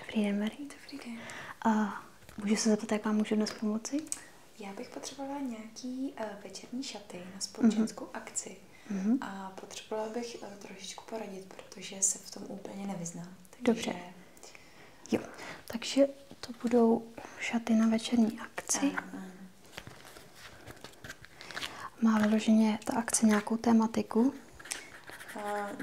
Dobrý den, Marie. Dobrý den. Uh, můžu se zeptat, jak vám můžu dnes pomoci? Já bych potřebovala nějaký uh, večerní šaty na společenskou mm-hmm. akci mm-hmm. a potřebovala bych uh, trošičku poradit, protože se v tom úplně nevyznám. Takže... Dobře. Jo, takže to budou šaty na večerní akci. Ano. Má vyloženě ta akce nějakou tématiku?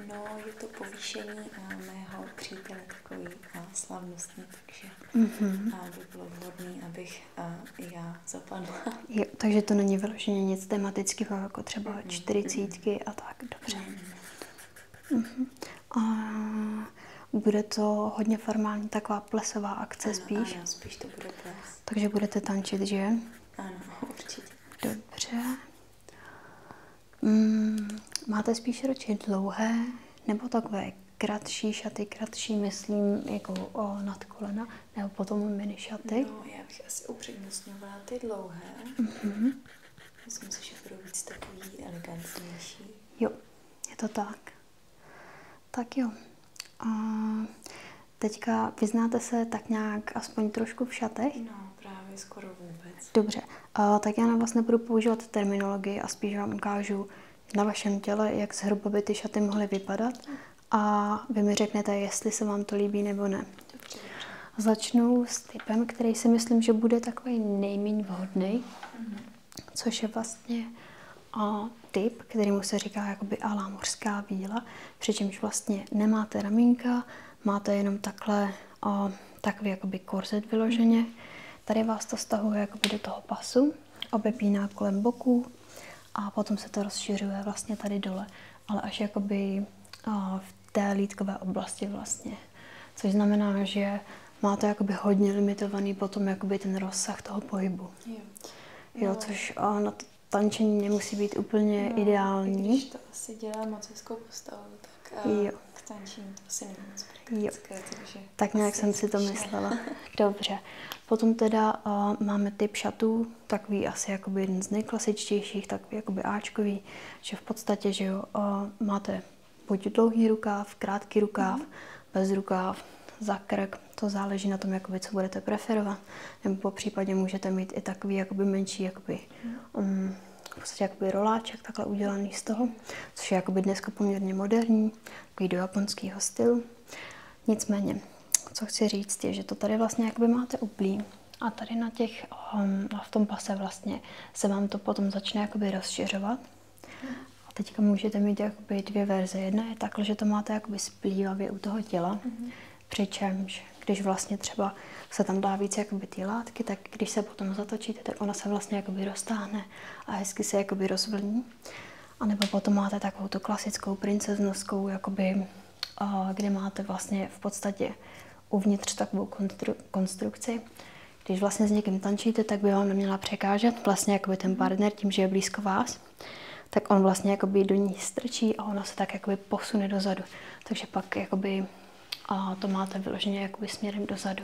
no, je to povýšení uh, mého přítele, takový uh, slavnostní, takže mm-hmm. by bylo vhodné, abych já zapadla. Jo, takže to není vyloženě nic tematického, jako třeba mm-hmm. a tak, dobře. Mm-hmm. Uh-huh. A bude to hodně formální, taková plesová akce ano, spíš. Ano, spíš to bude ples. Takže budete tančit, že? Ano, určitě. Dobře. Mm, máte spíš radši dlouhé nebo takové kratší šaty, kratší myslím jako o kolena, nebo potom mini šaty? No, já bych asi upřednostňovala ty dlouhé. Mm-hmm. Myslím si, že budou víc takový elegantnější. Jo, je to tak. Tak jo. A teďka vyznáte se tak nějak aspoň trošku v šatech? No, právě skoro vůbec. Dobře, a tak já na vás nebudu používat terminologii a spíš vám ukážu na vašem těle, jak zhruba by ty šaty mohly vypadat a vy mi řeknete, jestli se vám to líbí nebo ne. Dobře. Začnu s typem, který si myslím, že bude takový nejméně vhodný. Mm-hmm což je vlastně a typ, který mu se říká jakoby alá mořská víla, přičemž vlastně nemáte ramínka, máte jenom takhle a takový jakoby korzet vyloženě. Tady vás to stahuje jakoby do toho pasu, obepíná kolem boku a potom se to rozšiřuje vlastně tady dole, ale až jakoby a, v té lítkové oblasti vlastně. Což znamená, že má to jakoby hodně limitovaný potom jakoby ten rozsah toho pohybu. Jo, jo což a na to tančení nemusí být úplně no, ideální. Když to asi dělá moc hezkou postavu, tak eh, jo. k tančení to asi není moc takže... Tak nějak jsem si to myslela. Dobře. Potom teda uh, máme typ šatů, takový asi jakoby jeden z nejklasičtějších, takový jakoby Ačkový, že v podstatě, že jo, uh, máte buď dlouhý rukáv, krátký rukáv, mm bez rukáv, za krk, to záleží na tom, jakoby, co budete preferovat. Nebo po případě můžete mít i takový jakoby menší jakoby, um, v podstatě jakoby roláček takhle udělaný z toho, což je jakoby dneska poměrně moderní, takový do japonského stylu. Nicméně, co chci říct, je, že to tady vlastně jakoby máte uplý a tady na těch, um, v tom pase vlastně se vám to potom začne jakoby rozšiřovat a teďka můžete mít jakoby dvě verze. Jedna je takhle, že to máte jakoby splývavě u toho těla, mm -hmm. přičemž když vlastně třeba se tam dá víc jakoby ty látky, tak když se potom zatočíte, tak ona se vlastně jakoby roztáhne a hezky se jakoby rozvlní. A nebo potom máte takovou tu klasickou princeznovskou, jakoby, kde máte vlastně v podstatě uvnitř takovou konstru konstrukci. Když vlastně s někým tančíte, tak by vám neměla překážet vlastně jakoby ten mhm. partner, partner tím, že je blízko vás, tak on vlastně jakoby do ní strčí a ona se tak jakoby posune dozadu. Takže pak jakoby a to máte vyloženě jakoby směrem dozadu.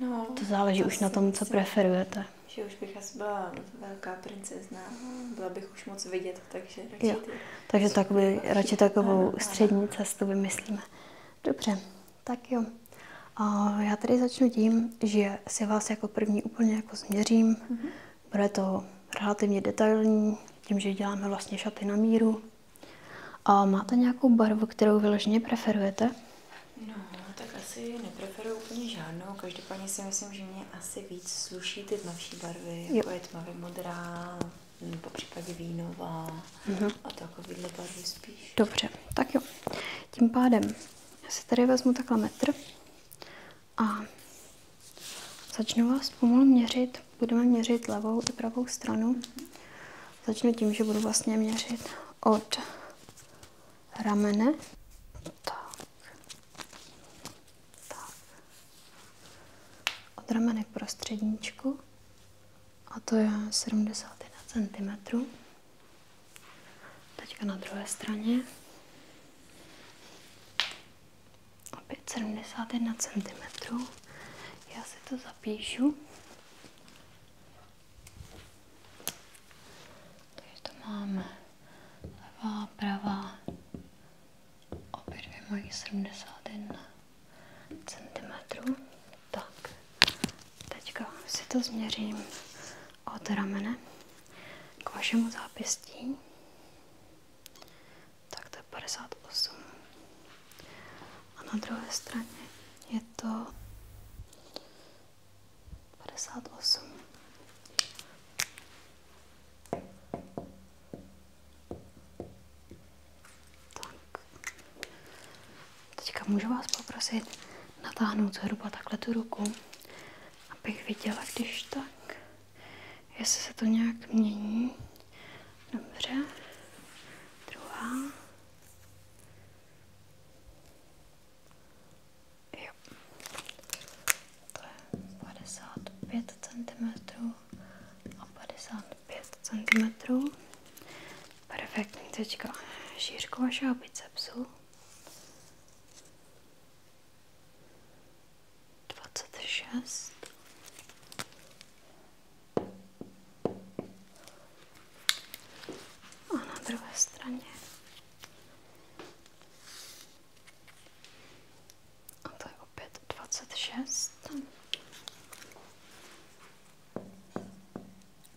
No, to záleží už na tom, co si... preferujete. Že už bych asi byla velká princezna, byla bych už moc vidět, takže radši jo. Ty... Takže takový, radši takovou střední cestu vymyslíme. Dobře. Tak jo. A já tady začnu tím, že si vás jako první úplně jako změřím. Mm-hmm. Bude to relativně detailní, tím, že děláme vlastně šaty na míru. A máte nějakou barvu, kterou vyloženě preferujete? No, tak asi nepreferuju úplně žádnou. Každopádně si myslím, že mě asi víc sluší ty tmavší barvy, jako jo. jako je tmavě modrá, nebo případě vínová mm-hmm. a takovýhle barvy spíš. Dobře, tak jo. Tím pádem já si tady vezmu takhle metr a začnu vás pomalu měřit. Budeme měřit levou i pravou stranu. Začnu tím, že budu vlastně měřit od ramene. Tak. Tak. Od ramene k prostředníčku. A to je 71 cm. Teďka na druhé straně. Opět 71 cm. Já si to zapíšu. Takže to máme levá, pravá, opět dvě mají 71 cm. Tak, teďka si to změřím od ramene k vašemu zápěstí. Tak to je 58. A na druhé straně je to 58. Tak. Teďka můžu vás poprosit natáhnout zhruba takhle tu ruku, abych viděla, když tak, jestli se to nějak mění. Dobře. Druhá. Jo. To je 55 cm a 55 cm. Perfektní teďka šířku vašeho bicepsu. Dwa, co A na drugiej stronie. A to opět 26.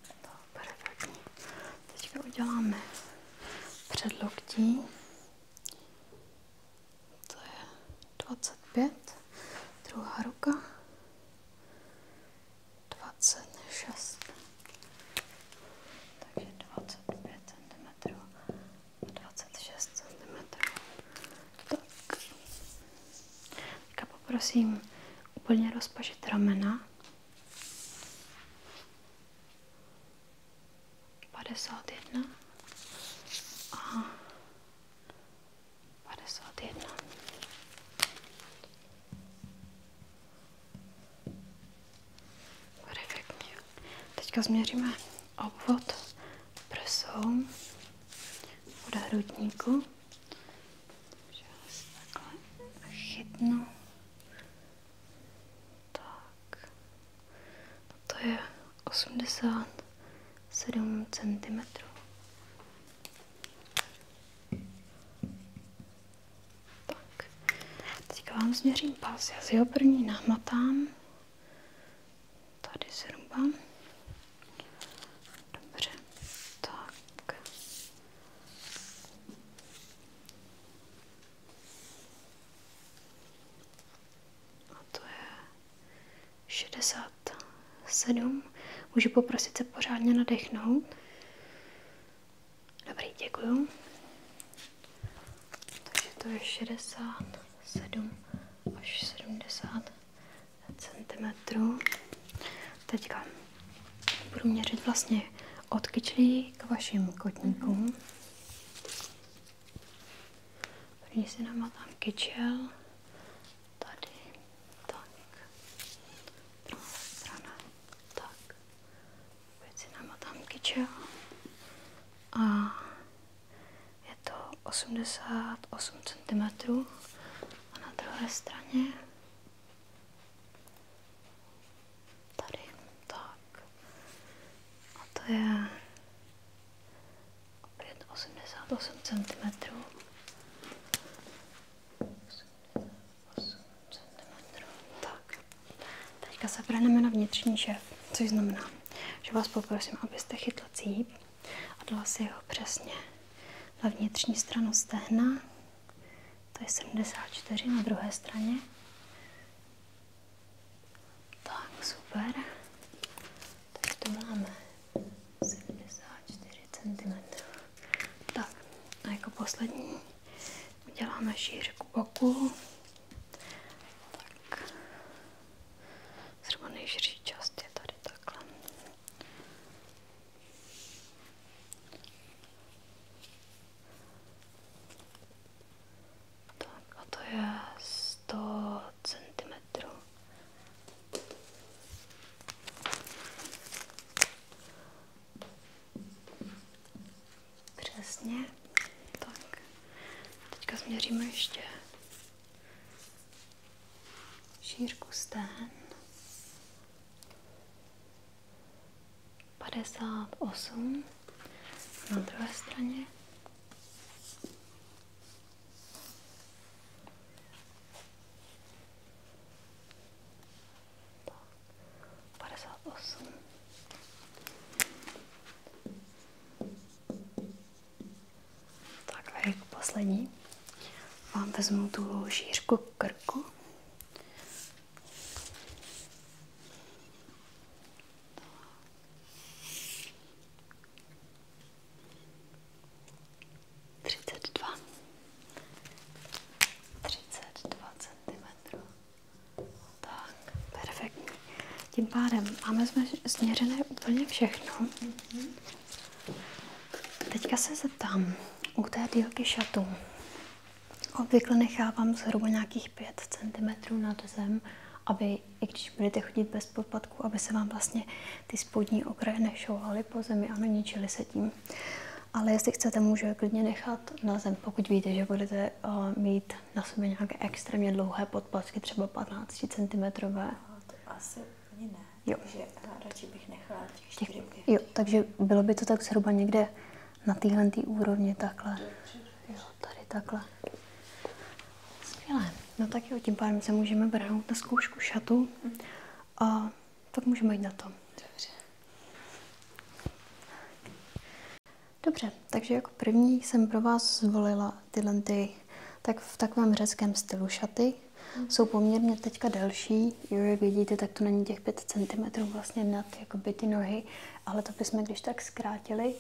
To perfektní. Teďka uděláme předloktí. To je 25. Druhá ruka. 26. Takže 25 cm a 26 cm. Tak. Teďka poprosím úplně rozpažit ramena. Padesát jedna a padesát jedna. Perfektně. Teďka změříme obvod prsou od hrudníku. Takhle chytnu tak. No to je 87 cm. Tak. teď vám změřím pas. Já si ho první nahmatám. Tady zhruba. Dobře. Tak to je 67. Můžu poprosit se pořádně nadechnout. Dobrý, děkuju. Takže to je 67 až 70 cm. Teďka Budu měřit vlastně od kyčlí k vašim kotníkům. Mm. První si namátám kyčel. Tady. Tak. Druhá strana. Tak. Opět si namátám kyčel. A je to 88 cm. A na druhé straně Tady, tak. A to je opět 88 cm. 88 Tak. Teďka se vrhneme na vnitřní šéf, což znamená, že vás poprosím, abyste chytla cíp a dala si ho přesně na vnitřní stranu stehna to je 74 na druhé straně. Tak, super. Tak to máme 74 cm. Tak, a jako poslední uděláme šířku boku. Tak, zhruba nejširší část je tady takhle. Tak a to je 100 cm. Přesně. Tak. Teďka změříme ještě šířku stén. 58 na druhé straně. Tak, 58. Takhle jako poslední vám vezmu tu šířku krku Třicet dva. Třicet dva centimetrů. Tak, perfektní. Tím pádem máme změřené úplně všechno. Mhm. Teďka se zeptám u té dílky šatu. Obvykle nechávám zhruba nějakých 5 cm nad zem, aby, i když budete chodit bez podpadku, aby se vám vlastně ty spodní okraje nešouhaly po zemi a neničily se tím. Ale jestli chcete, můžu je klidně nechat na zem, pokud víte, že budete eh, mít na sobě nějaké extrémně dlouhé podpatky, třeba 15 cm. No, to asi ani ne, jo. takže eh, radši bych nechala těch 4 Jo, takže bylo by to tak zhruba někde na téhle tý úrovně takhle. Jo, tady takhle. Skvělé. No tak jo, tím pádem se můžeme brát na zkoušku šatu a tak můžeme jít na to. Dobře. Dobře, takže jako první jsem pro vás zvolila tyhle ty, tak v takovém řeckém stylu šaty. Mhm. Jsou poměrně teďka delší, jo, jak vidíte, tak to není těch 5 cm vlastně nad jakoby, ty nohy, ale to bychom když tak zkrátili.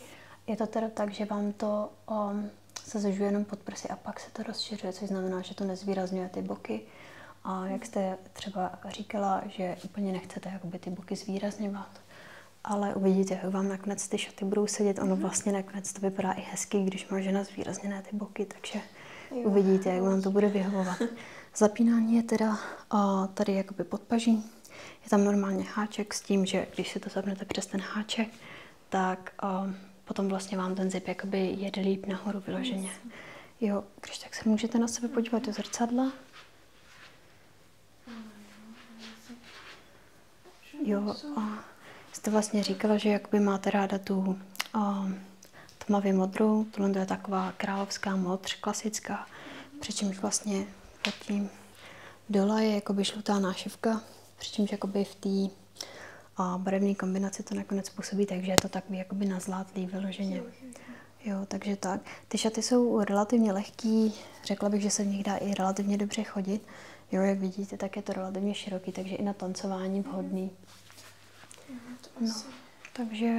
Je to teda tak, že vám to um, se zužuje jenom pod prsy a pak se to rozšiřuje, což znamená, že to nezvýrazňuje ty boky. A jak jste třeba říkala, že úplně nechcete jakoby, ty boky zvýrazňovat, ale uvidíte, jak vám nakonec ty šaty budou sedět. Ono mhm. vlastně nakonec to vypadá i hezky, když má žena zvýrazněné ty boky, takže uvidíte, jak vám to bude vyhovovat. Zapínání je teda tady jakoby podpaží. Je tam normálně háček s tím, že když si to zapnete přes ten háček, tak um, potom vlastně vám ten zip jakoby jede líp nahoru vyloženě. Jo, když tak se můžete na sebe podívat do zrcadla. Jo, a jste vlastně říkala, že jakoby máte ráda tu um, tmavě modrou, tohle je taková královská modř, klasická, přičemž vlastně pod tím dole je jakoby žlutá nášivka, přičemž jakoby v té barevné kombinace to nakonec působí takže je to takový jakoby nazlátlý vyloženě. Jo, takže tak. Ty šaty jsou relativně lehký, řekla bych, že se v nich dá i relativně dobře chodit. Jo, jak vidíte, tak je to relativně široký, takže i na tancování vhodný. Mhm, no, takže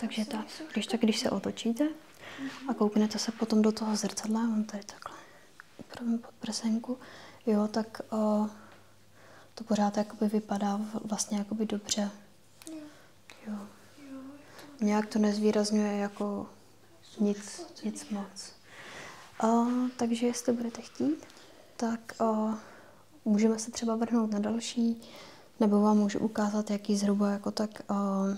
takže tak, když tak, když se otočíte a mhm. kouknete se potom do toho zrcadla, mám tady takhle upravím pod prsenku, jo, tak uh, to pořád jakoby vypadá vlastně jakoby dobře. Jo. Nějak to nezvýrazňuje jako nic, nic moc. Uh, takže jestli budete chtít, tak uh, můžeme se třeba vrhnout na další nebo vám můžu ukázat, jaký zhruba jako tak uh,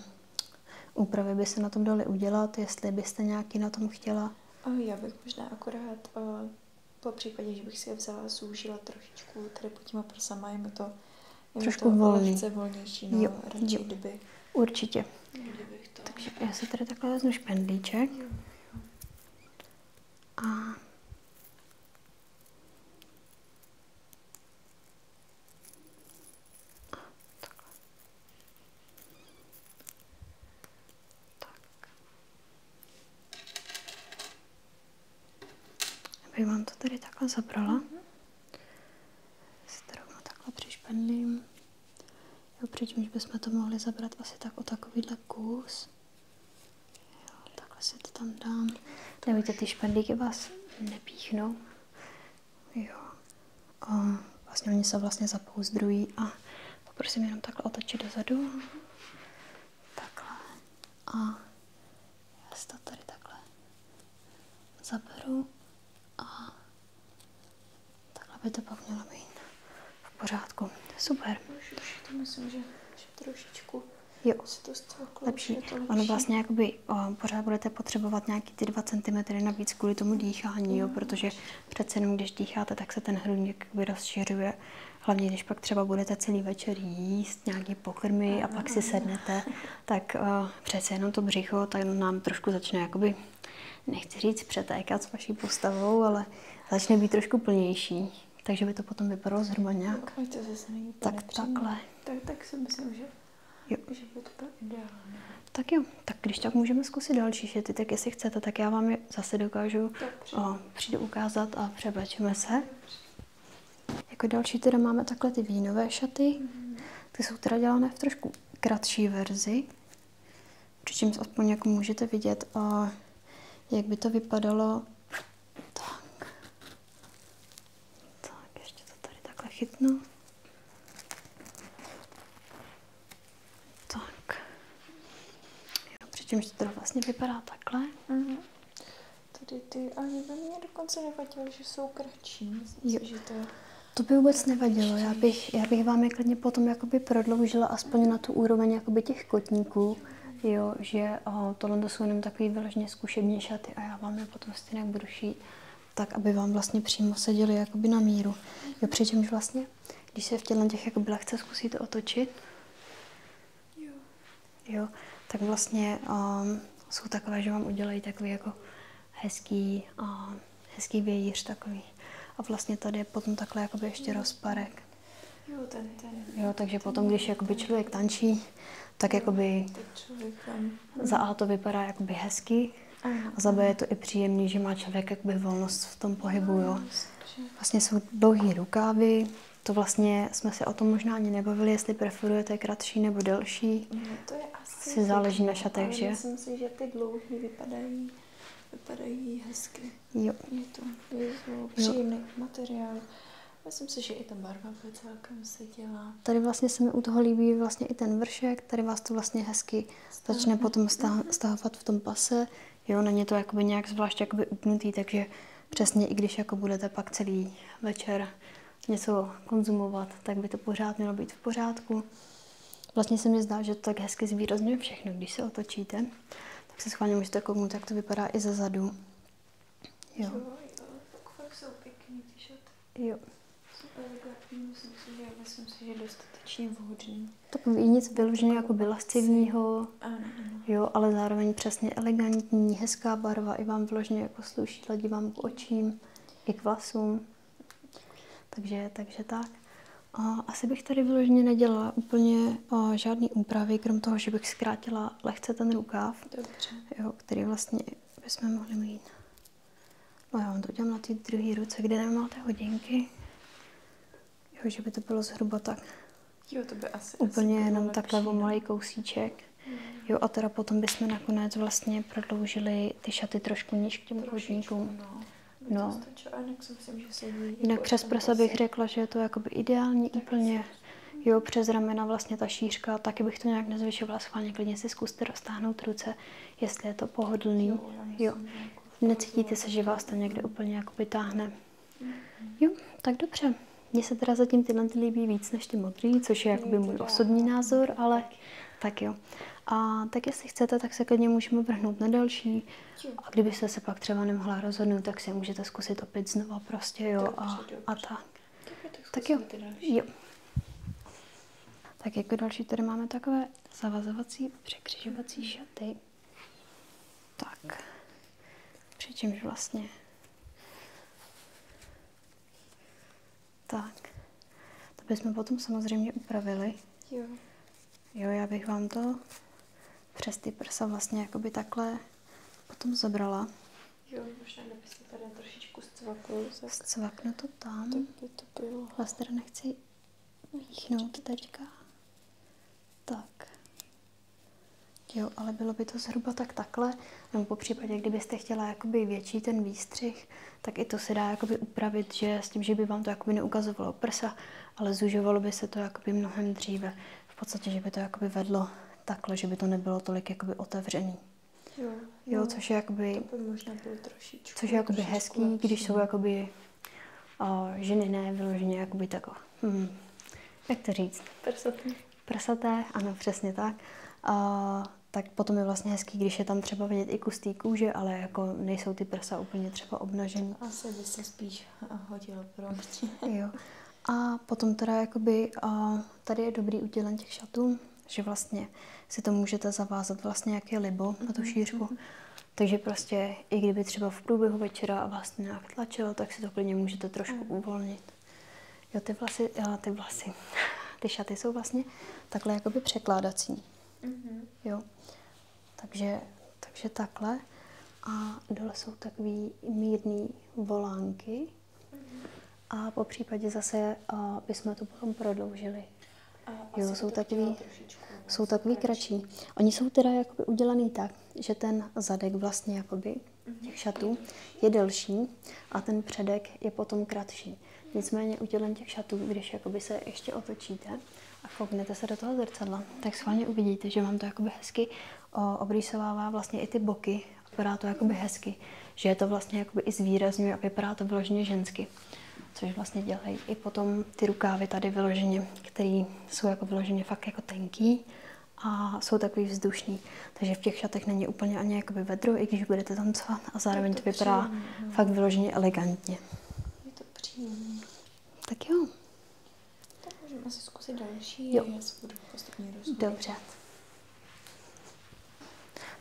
úpravy by se na tom daly udělat, jestli byste nějaký na tom chtěla. Eh, já bych možná akorát, uh, po případě, že bych si je vzala, zúžila trošičku tady pod těma prsama, je mi to, je trošku to volný. lehce volnější, no, jo, radši, jo. kdyby. Určitě. to... Takže já si tady takhle vezmu špendlíček. A Takhle. Tak. Abych vám to tady takhle zabrala. Si to rovnou takhle přišpendlím. Jo, přičemž bychom to mohli zabrat asi tak o takovýhle kus. Jo, takhle se to tam dám. Nevíte, ty špendlíky vás nepíchnou. Jo. A vlastně oni se vlastně zapouzdrují a poprosím jenom takhle otočit dozadu. Takhle. A já si to tady takhle zaberu a takhle by to pak mělo být v pořádku. Super. Už, už to myslím, že, že trošičku Jo, lepší. Ono vlastně jakoby o, pořád budete potřebovat nějaký ty dva centimetry navíc kvůli tomu dýchání, jo, no, protože přece jenom když dýcháte, tak se ten hrudník rozšiřuje. Hlavně když pak třeba budete celý večer jíst nějaké pokrmy a pak si sednete, tak o, přece jenom to břicho tak nám trošku začne jakoby, nechci říct přetékat s vaší postavou, ale začne být trošku plnější. Takže by to potom vypadalo zhruba nějak. Tak takhle. Tak, tak si myslím, že, jo. že by to bylo ideální. Tak jo, tak když tak můžeme zkusit další šity, tak jestli chcete, tak já vám je zase dokážu o, přijdu ukázat a převlečeme se. Dobře. Jako další teda máme takhle ty vínové šaty. Mhm. Ty jsou teda dělané v trošku kratší verzi. Přičemž aspoň jako můžete vidět, o, jak by to vypadalo tak. Tak, ještě to tady takhle chytnu. Tak. Jo, přičemž to teda vlastně vypadá takhle. Mm-hmm. Tady ty, ale by mě dokonce nevadilo, že jsou kratší. Myslím, že to... To by vůbec nevadilo, já bych, já bych vám je klidně potom jakoby prodloužila aspoň na tu úroveň jakoby těch kotníků jo, že o, eh, tohle jsou jenom takový vyloženě zkušební šaty a já vám je potom stejně budu šít, tak aby vám vlastně přímo seděly jakoby na míru. Jo, přičemž vlastně, když se v těchto těch jakoby lehce zkusíte otočit, jo, jo tak vlastně um, jsou takové, že vám udělají takový jako hezký, um, hezký vějíř takový. A vlastně tady je potom takhle jakoby ještě rozparek. Jo, ten, ten. Jo, takže ten, potom, když jakoby člověk tančí, tak jako by za A to vypadá jako by hezký a za B je to i příjemný, že má člověk jakoby volnost v tom pohybu, jo. Vlastně jsou dlouhé rukávy, to vlastně jsme se o tom možná ani nebavili, jestli preferujete kratší nebo delší. No, to je asi si záleží na šatech, že? Myslím si, že ty dlouhé vypadají, vypadají hezky. Jo. Je to je to příjemný jo. materiál. Myslím si, že i ta barva bude celkem seděla. Tady vlastně se mi u toho líbí vlastně i ten vršek, tady vás to vlastně hezky Stále. začne potom stahovat v tom pase. Jo, není to jakoby nějak zvlášť jakoby upnutý, takže přesně i když jako budete pak celý večer něco konzumovat, tak by to pořád mělo být v pořádku. Vlastně se mi zdá, že to tak hezky zvýrazňuje všechno, když se otočíte. Tak se schválně můžete kouknout, jak to vypadá i ze zadu. Jo. Fakt jsou pěkný ty šaty. Jo. Jako myslím si, že, myslím si, že dostatečně vhodný. Tak nic vyloženě jako byla lascivního, jo, ale zároveň přesně elegantní, hezká barva, i vám vložně jako sluší, ladí vám k očím, i k vlasům. Takže, takže tak. A asi bych tady vložně nedělala úplně a, žádný úpravy, krom toho, že bych zkrátila lehce ten rukáv. Dobře. Jo, jo, který vlastně bychom mohli mít. No já vám to udělám na ty druhé ruce, kde nemáte hodinky. Jo, že by to bylo zhruba tak. Jo, to by asi Úplně asi jenom takhle o no. malý kousíček. Mm. Jo, a teda potom bychom nakonec vlastně prodloužili ty šaty trošku níž k těm hodníkům. No. No. Stačilo, jinak si myslím, že sedí. Jinak jako přes prsa bych řekla, že je to jakoby ideální úplně jo, přes ramena vlastně ta šířka, taky bych to nějak nezvyšovala schválně, klidně si zkuste roztáhnout ruce, jestli je to pohodlný, jo. Jako Necítíte se, že vás to někde úplně jako vytáhne. Jo, tak dobře. Mně se teda zatím tyhle ty líbí víc než ty modrý, což je jakoby můj osobní názor, ale tak jo. A tak jestli chcete, tak se klidně můžeme vrhnout na další. A kdybyste se pak třeba nemohla rozhodnout, tak si můžete zkusit opět znovu, prostě, jo, a, a tak. Tak, tak jo. jo. Tak jako další tady máme takové zavazovací, překřižovací mhm. šaty. Tak. Přičemž vlastně. Tak. To bychom potom samozřejmě upravili. Jo. Jo, já bych vám to přes ty prsa vlastně jakoby takhle potom zabrala. Jo, možná kdybyste tady trošičku zcvaknul. Tak... Zcvaknu to tam. Tak by to bylo. Vás teda nechci míchnout teďka. Tak. Jo, ale bylo by to zhruba tak takhle, nebo po případě, kdybyste chtěla jakoby větší ten výstřih, tak i to se dá jakoby upravit, že s tím, že by vám to jakoby neukazovalo prsa, ale zužovalo by se to jakoby mnohem dříve. V podstatě, že by to jakoby vedlo takhle, že by to nebylo tolik jakoby otevřený. Jo, jo což je jakoby... To Což je jakoby trošičku hezký, lepší. když jsou jakoby o, ženy ne, vyloženě jakoby tako. Hmm. Jak to říct? Prsaté. Prsaté, ano, přesně tak. A, tak potom je vlastně hezký, když je tam třeba vidět i kus té kůže, ale jako nejsou ty prsa úplně třeba obnažený. Asi by se spíš hodilo pro Jo. A potom teda jakoby, uh, tady je dobrý udělen těch šatů, že vlastně si to můžete zavázat vlastně jak je libo na tu mhm, šířku. Mm-hmm. Takže prostě i kdyby třeba v průběhu večera vás vlastně to nějak tlačilo, tak si to klidně můžete trošku mm. uvolnit. Jo, ty vlasy, jo, ty vlasy, ty šaty jsou vlastně takhle jakoby překládací. Mm-hmm. Jo, takže, takže takhle. A dole jsou takový mírný volánky, a po případě zase bychom to potom prodloužili. jo, jsou takový, jsou takový kratší. Oni jsou teda jakoby udělaný tak, že ten zadek vlastně jakoby mhm. těch šatů je delší a ten předek je potom kratší. Nicméně udělen těch šatů, když jakoby se ještě otočíte a kouknete se do toho zrcadla, tak schválně uvidíte, že vám to jakoby hezky obrýsovává vlastně i ty boky vypadá to jakoby hezky, že je to vlastně jakoby i zvýrazňuje a vypadá to vyloženě žensky. Což vlastně dělají i potom ty rukávy tady vyloženě, které jsou jako vyloženě fakt jako tenký a jsou takový vzdušný. Takže v těch šatech není úplně ani jakoby vedro, i když budete tancovat a zároveň to, to vypadá příjemný. fakt vyloženě elegantně. Je to příjemné. Tak jo. Tak můžeme si zkusit další, jo. já se budu postupně rozhodit. Dobře.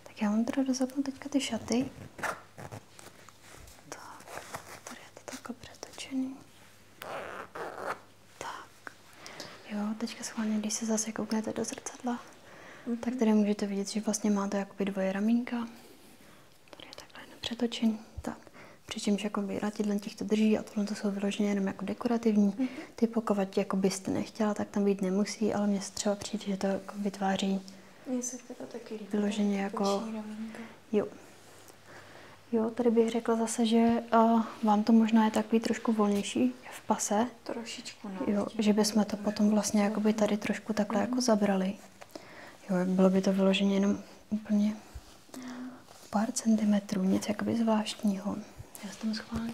Tak já vám teda rozhodnu teďka ty šaty. Tak, tady je to takhle přetočený. Tak, jo, teďka schválně, když se zase kouknete do zrcadla, mm -hmm. tak tady můžete vidět, že vlastně má to jakoby dvoje ramínka. Tady je takhle nepřetočený. Tak, přičemž jakoby ratidlen těch to drží a tohle to jsou vyloženě jenom jako dekorativní. Mm -hmm ty pokovat, jako byste nechtěla, tak tam být nemusí, ale mně se třeba přijde, že to jako vytváří mně se teda taky líbí. Vyloženě jako... Jo. Jo, tady bych řekla zase, že uh, vám to možná je takový trošku volnější v pase. Trošičku, no. Jo, že bychom to potom vlastně jako by tady trošku takhle mm. jako zabrali. Jo, bylo by to vyloženě jenom úplně pár centimetrů, nic jakoby zvláštního. Já jsem schválně.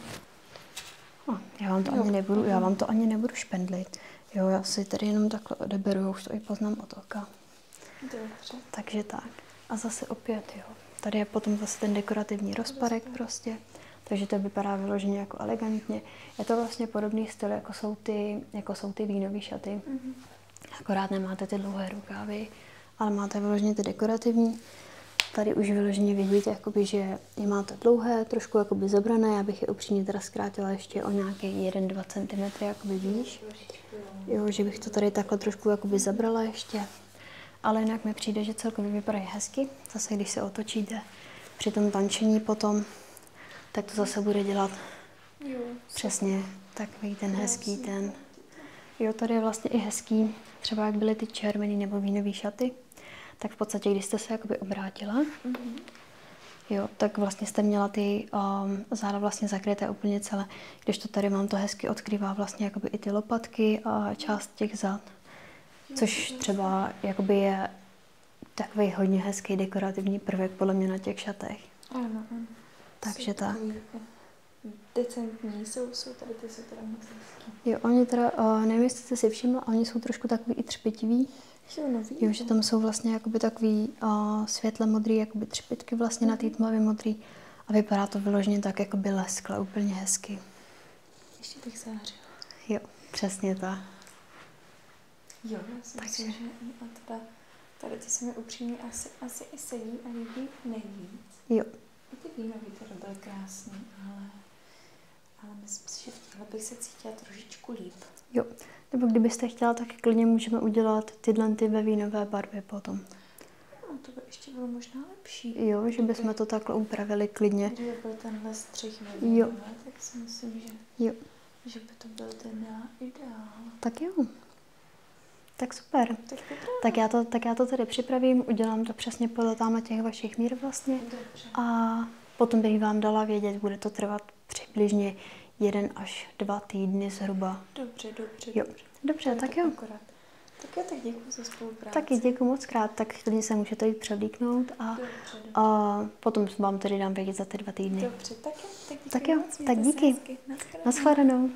No, já vám to ani nebudu, já vám to ani nebudu špendlit. Jo, já si tady jenom takhle odeberu, já už to i poznám od oka. Dobře. Takže tak. A zase opět, jo. Tady je potom zase ten dekorativní rozpadek prostě. Takže to vypadá vyloženě jako elegantně. Je to vlastně podobný styl, jako jsou ty, jako jsou ty vínové šaty. Mm-hmm. Akorát nemáte ty dlouhé rukávy, ale máte vyloženě ty dekorativní. Tady už vyloženě vidíte, jakoby, že je máte dlouhé, trošku jakoby zabrané. Já bych je upřímně teda zkrátila ještě o nějaké 1-2 cm, jakoby víš. Jo, že bych to tady takhle trošku jakoby zabrala ještě. Ale jinak mi přijde, že celkově vypadají hezky. Zase, když se otočíte při tom tančení potom, tak to zase bude dělat jo, přesně takový ten hezký ten. Jo, tady je vlastně i hezký, třeba jak byly ty červený nebo vínový šaty, tak v podstatě, když jste se jakoby obrátila, mm-hmm. jo, tak vlastně jste měla ty um, záda vlastně zakryté úplně celé. Když to tady mám, to hezky odkrývá vlastně jakoby i ty lopatky a část těch zad. Což mhm. třeba jakoby je takový hodně hezký dekorativní prvek podle mě na těch šatech. Ano, ano. Takže tak. Jako, decentní jsou, jsou tady ty jsou teda moc Jo, oni teda, uh, nevím, jestli jste si všimla, oni jsou trošku takový i třpitiví. Jo, že tam jsou vlastně jakoby takový uh, světle modrý, jakoby třpitky vlastně na té mhm. tmavě modrý. A vypadá to vyloženě tak, jako by leskle, úplně hezky. Ještě bych zářila. Jo, přesně ta. Jo, já Takže. a teda, tady ty se mi upřímně asi, asi i sedí a líbí nejvíc. Jo uvidíme, no vítr byl krásný, ale, ale myslím si, že v těchto bych se cítila trošičku líp. Jo, nebo kdybyste chtěla, tak klidně můžeme udělat tyhle ty ve vínové barvě potom. No, to by ještě bylo možná lepší. Jo, že bychom to takhle upravili klidně. Kdyby byl tenhle střih ve vínové, tak si myslím, že, jo. že by to byl ten ideál. Tak jo. Tak super. Tak, já to, tak já to tady připravím, udělám to přesně podle tam těch vašich mír vlastně. A potom bych vám dala vědět, bude to trvat přibližně jeden až dva týdny zhruba. Dobře, dobře. Jo. Dobře, dobře tak jo. Akorát. Tak jo, tak děkuji za spolupráci. Taky děkuji moc krát, tak klidně se můžete jít převlíknout a, a potom vám tedy dám vědět za ty dva týdny. Dobře, tak jo, tak díky. Tak jo, moc, tak díky. Naschledanou. Naschledanou.